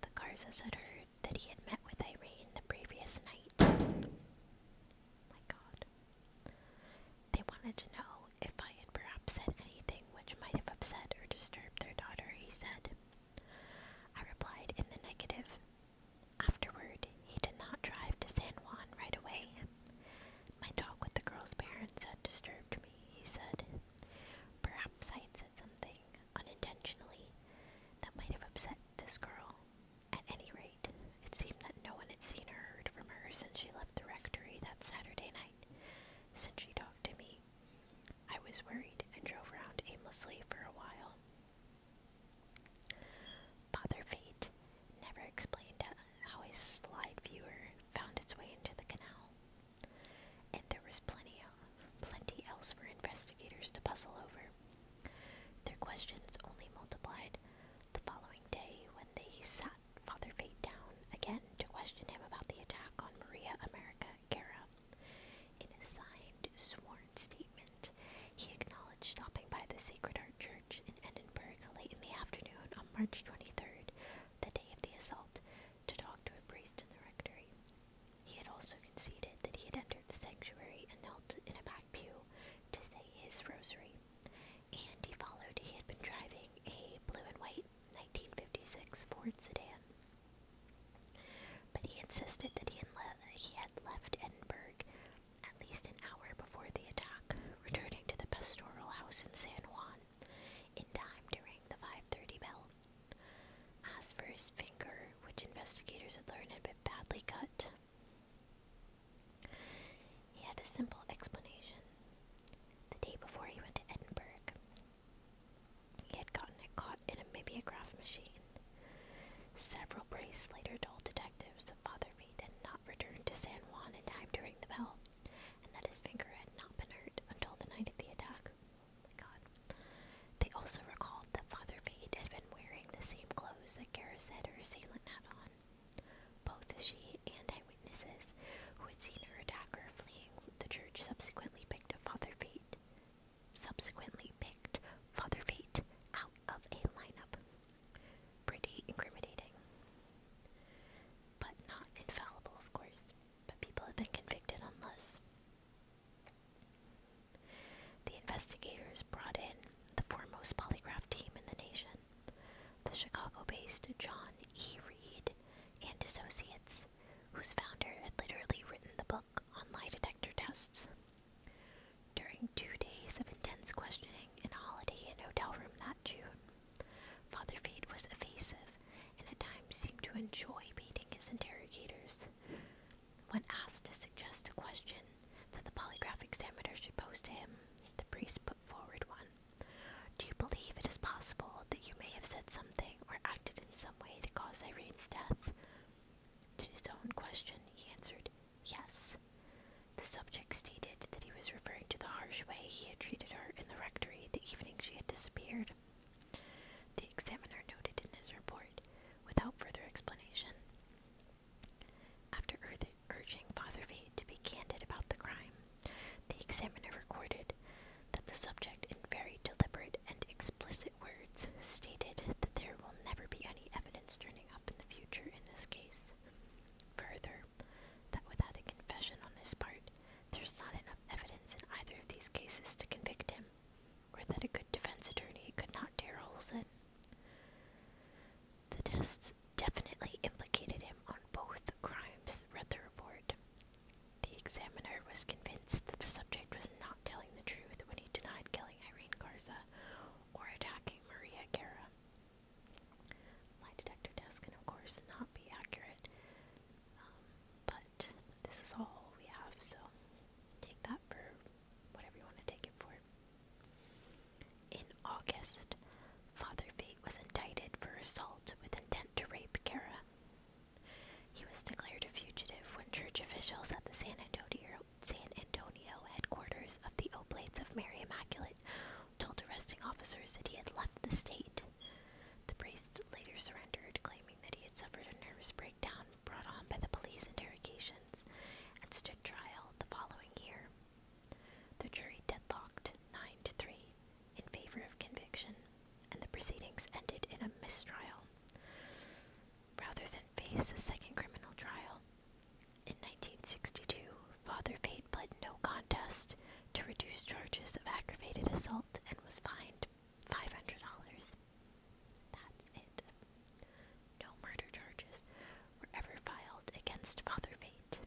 The Garzas had heard that he had met with Irene the previous night. They wanted to know if I had perhaps said anything which might have upset or disturbed their daughter, he said. I replied in the negative. Afterward, he did not drive to San Juan right away, time. My talk with the girl's parents had disturbed me, he said. Perhaps I had said something, unintentionally, that might have upset this girl. At any rate, it seemed that no one had seen or heard from her since she left the rectory that Saturday night, since she talked to me. I was worried and drove around aimlessly for a while. Father Fate never explained how how a slide viewer found its way into the canal. And there was plenty, of, plenty else for investigators to puzzle over. Their questions only multiplied the following day when they sat Father Fate down again to question him about the attack on Maria America Guerra. In a signed, sworn statement, he acknowledged stopping by the Sacred Heart Church in Edinburgh late in the afternoon on March 23rd the day of the assault, to talk to a priest in the rectory. He had also conceded that he had entered the sanctuary and knelt in a back pew to say his rosary, and he followed he had been driving a blue and white 1956 Ford sedan. But he insisted that he had, left Edinburgh at least an hour before the attack, returning to the pastoral house in San Juan in time to ring the 5:30 bell. As for his finger, which investigators had learned had been badly cut, he had a simple explanation. The day before he went to Edinburgh, he had gotten it caught in a mimeograph machine. Several brace later told detectives that Father V did not return to San Juan in time to ring the bell and that his finger had not been hurt until the night of the attack. They also recalled that Father Fate had been wearing the same clothes that Kara said her assailant had on. Both she and eyewitnesses who had seen her attacker fleeing the church subsequently picked up Father Fate. Subsequently picked Father Fate out of a lineup. Pretty incriminating. But not infallible, of course. But people have been convicted unless. The investigators brought in the foremost polygraph team in the nation, the Chicago based John E. Reed and Associates, whose founder had literally written the book on lie detector tests. During two days of intense questioning in a holiday inn hotel room that June, Father Fate was evasive and at times seemed to enjoy baiting his interrogators. When asked to suggest a question that the polygraph examiner should pose to him, the priest put forward one. Do you believe it is possible that you may have said something or acted in some way to cause Irene's death? To his own question, he answered, Yes. The subject stated that he was referring to the harsh way he had treated her in the rectory the evening she had disappeared. The examiner noted in his report, without further explanation. After urging Father V to be candid about the crime, the examiner recorded that the subject, in very deliberate and explicit words, stated that there will never be any evidence turning up in the future in this case. Further, that without a confession on his part, there's not enough evidence in either of these cases to convict him, or that a good defense attorney could not tear holes in. The tests definitely implicated him on both crimes, read the report. The examiner was convinced that the subject was not telling the truth when he denied killing Irene Garza or attacking Maria Guerra. Lie detector tests can, of course, not be accurate, um, but this is all we have, so take that for whatever you want to take it for. In August, Father Fate was indicted for assault with intent to rape Kara. He was declared a fugitive when church officials at the San Antonio headquarters of the Oblates of Mary Immaculate told arresting officers that he had left the state. The priest later surrendered, claiming that he had suffered a nervous breakdown brought on by the police interrogations and stood trial the following year. The jury deadlocked 9 to 3 in favor of conviction, and the proceedings ended in a mistrial. Rather than face a second criminal trial, in 1962, Father Fate pled no contest to reduce charges of aggravated assault and was fined $500. That's it. No murder charges were ever filed against Father Fate.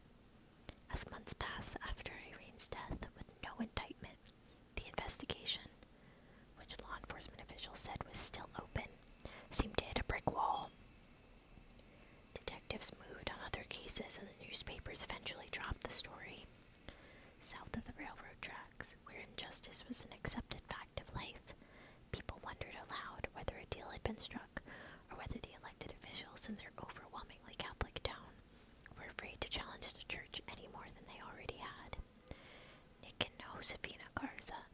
As months pass after Irene's death with no indictment, the investigation, which law enforcement officials said was still open, seemed to hit a brick wall. Detectives moved on other cases, and the newspapers eventually dropped the story. South of the railroad tracks, where injustice was an accepted fact of life, people wondered aloud whether a deal had been struck or whether the elected officials in their overwhelmingly Catholic town were afraid to challenge the church any more than they already had. Nick and Josefina Garza,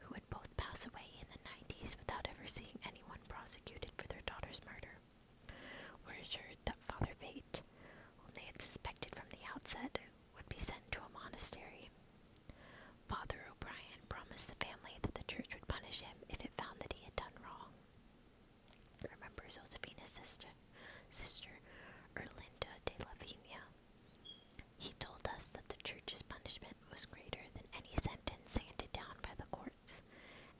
who would both pass away in the 90s without ever seeing anyone prosecuted for their daughter's murder. We're assured that Father Fate, whom they had suspected from the outset, would be sent to a monastery. Father O'Brien promised the family that the church would punish him if it found that he had done wrong. Remember Josephina's sister, sister Erlinda de Lavinia. He told us that the church's punishment was greater than any sentence handed down by the courts,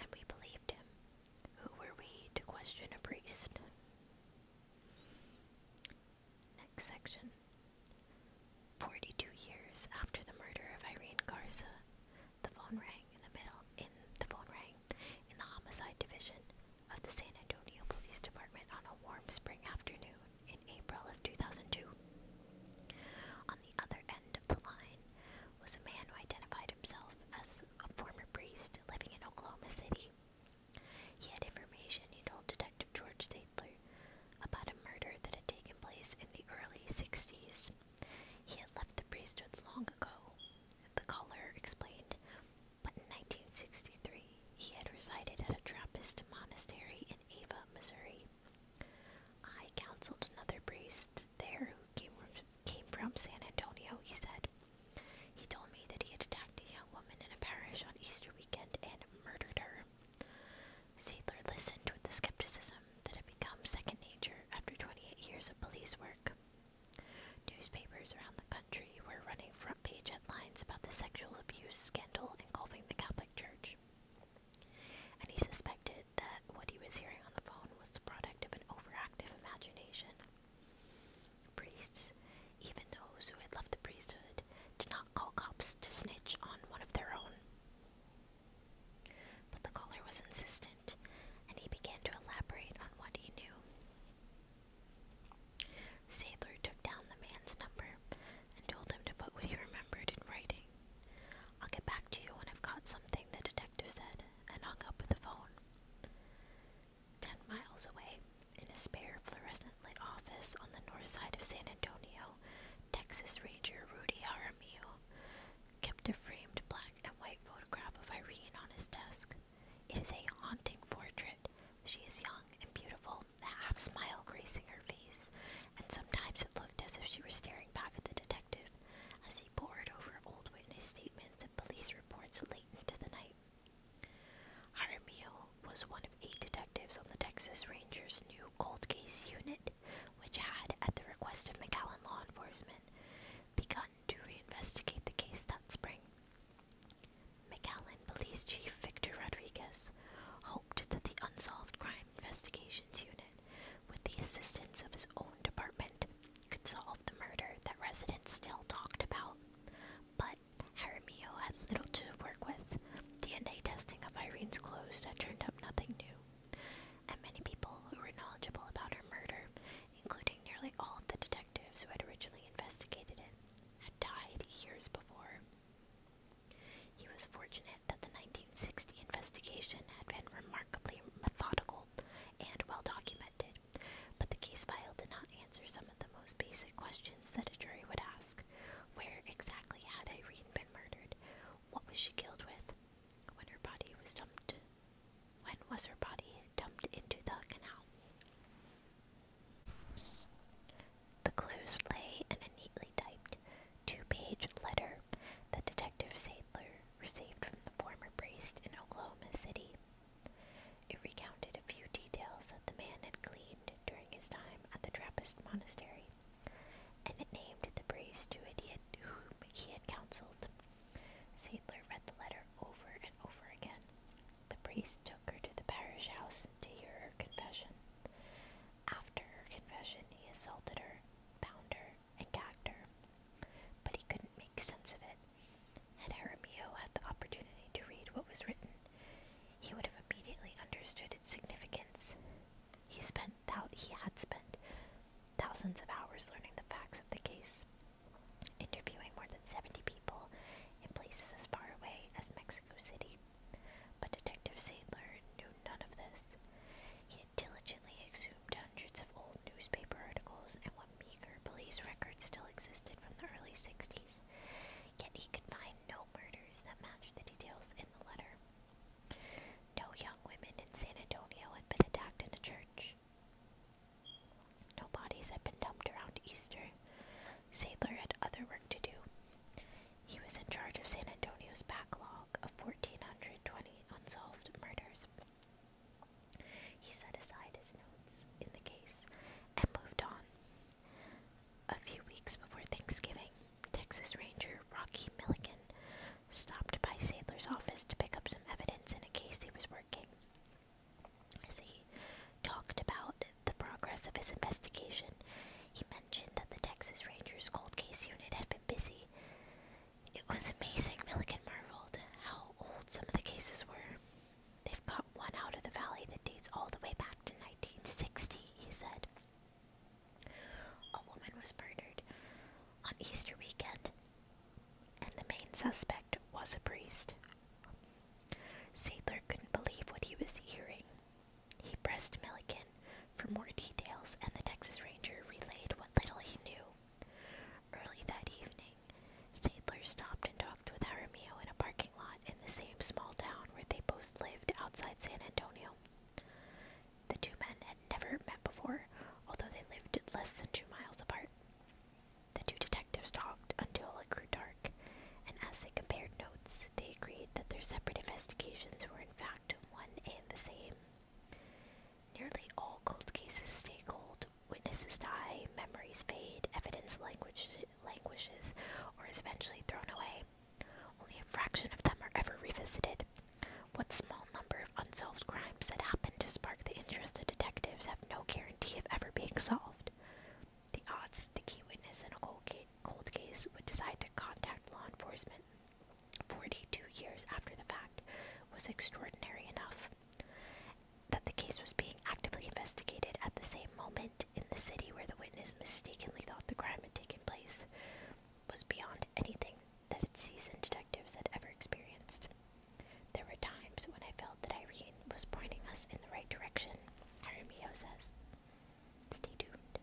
and we believed him. Who were we to question a priest? Next section. Forty two years after the murder of Irene Garza, the phone rang in the middle in the phone rang in the homicide division of the San Antonio Police Department on a warm spring afternoon in April of 2002 the other end of the line was a man who identified himself as a former priest living in Oklahoma City. He had information he told Detective George Sadler about a murder that had taken place in the early 60s. He had left the priesthood long ago, the caller explained, but in 1963 he had resided at a Trappist monastery in Ava, Missouri. I counseled another priest there who came from, came from San Antonio, he said. He told me that he had attacked a young woman in a parish on Easter weekend and murdered her. Sadler listened with the skepticism that had become second nature after 28 years of police work. Newspapers around the country were running front page headlines about the sexual abuse scandal engulfing the Catholic Church and he suspected that what he was hearing on the phone was the product of an overactive imagination. Priests, even those who had left the priesthood, did not call cops to snitch on one of their own. But the caller was insistent, and he began to elaborate on what he knew. Sadler took down the man's number and told him to put what he remembered in writing. I'll get back to you when I've caught something, the detective said, and hung up with the phone. Ten miles away, in a spare fluorescent lit office on the north side of San Antonio, Texas Ranger Rudy Jaramillo kept a framed black and white photograph of Irene on his desk. It is a haunting portrait. She is young and beautiful, a half smile gracing her face, and sometimes it looked as if she were staring back at the detective as he bored over old witness statements and police reports late into the night. Jaramillo was one of eight detectives on the Texas Rangers' new cold case unit, which had, at the request of McAllen law enforcement, begun to reinvestigate the case that spring. McAllen Police Chief Victor Rodriguez, that the Unsolved Crime Investigations Unit, with the assistance of his own department, could solve the murder that residents still talked about. But Jaramillo had little to work with. DNA testing of Irene's clothes had turned up nothing new, and many people who were knowledgeable about her murder, including nearly all of the detectives who had originally investigated it, had died years before. He was fortunate that the 1960 investigation had been remarkably methodical and well documented, but the case file did not answer some of the most basic questions that a jury would ask. Where exactly had Irene been murdered? What was she killed with? When her body was dumped when was her body dumped into the canal? The clues lay in a neatly typed two page letter that Detective Sadler received from the former priest in Oklahoma City. It recounted a few details that the man had gleaned during his time at the Trappist monastery, and it named the priest who whom he had counseled. Sadler read the letter over and over again. The priest took her to the parish house to hear her confession. After her confession, he assaulted her, bound her, and gagged her. But he couldn't make sense of it. Had Jaramillo had the opportunity to read what was written, he would have immediately understood its significance. He spent thou he had spent thousands of hours learning the facts of the case, interviewing more than seventy people in places as far away as Mexico City. But Detective Sadler knew none of this. He diligently exhumed hundreds of old newspaper articles and what meager police records still existed from the early 60s, yet he could find no murders that matched the details in the letter. No young women in San Antonio had been attacked in a church. No bodies had been dumped around Easter. Sadler had other work to do. He was in charge of San Antonio's backlog of 1,420 unsolved murders. He set aside his notes in the case and moved on. A few weeks before Thanksgiving, Texas Ranger Rocky Milligan stopped by Sadler's office to pick up some evidence in a case he was working. As he talked about the progress of his investigation, he mentioned that the Texas Rangers cold case unit had been busy it was amazing, Milliken marveled, how old some of the cases were. They've got one out of the valley that dates all the way back to 1960, he said. A woman was murdered on Easter weekend, and the main suspect was a priest. Sadler couldn't believe what he was hearing. He pressed Milliken for more details, and the Texas Ranger relayed what little he knew. Early that evening, Sadler stopped and talked with Jaramillo in a parking lot in the same small town where they both lived outside San Antonio. The two men had never met before, although they lived less than two miles apart. The two detectives talked until it grew dark, and as they compared notes, they agreed that their separate investigations were in fact one and the same. Nearly all cold cases stay cold. Witnesses die, memories fade, evidence languish languishes, or is eventually thrown away. Only a fraction of them are ever revisited. What small number of unsolved crimes that happen to spark the interest of detectives have no guarantee of ever being solved. The odds the key witness in a cold case would decide to contact law enforcement 42 years after the fact, was extraordinary enough. That the case was being actively investigated at the same moment in the city where the witness mistakenly thought the crime had taken place was beyond anything that its seasoned detectives had ever experienced. There were times when I felt that Irene was pointing us in the right direction, Aramio says. Stay tuned.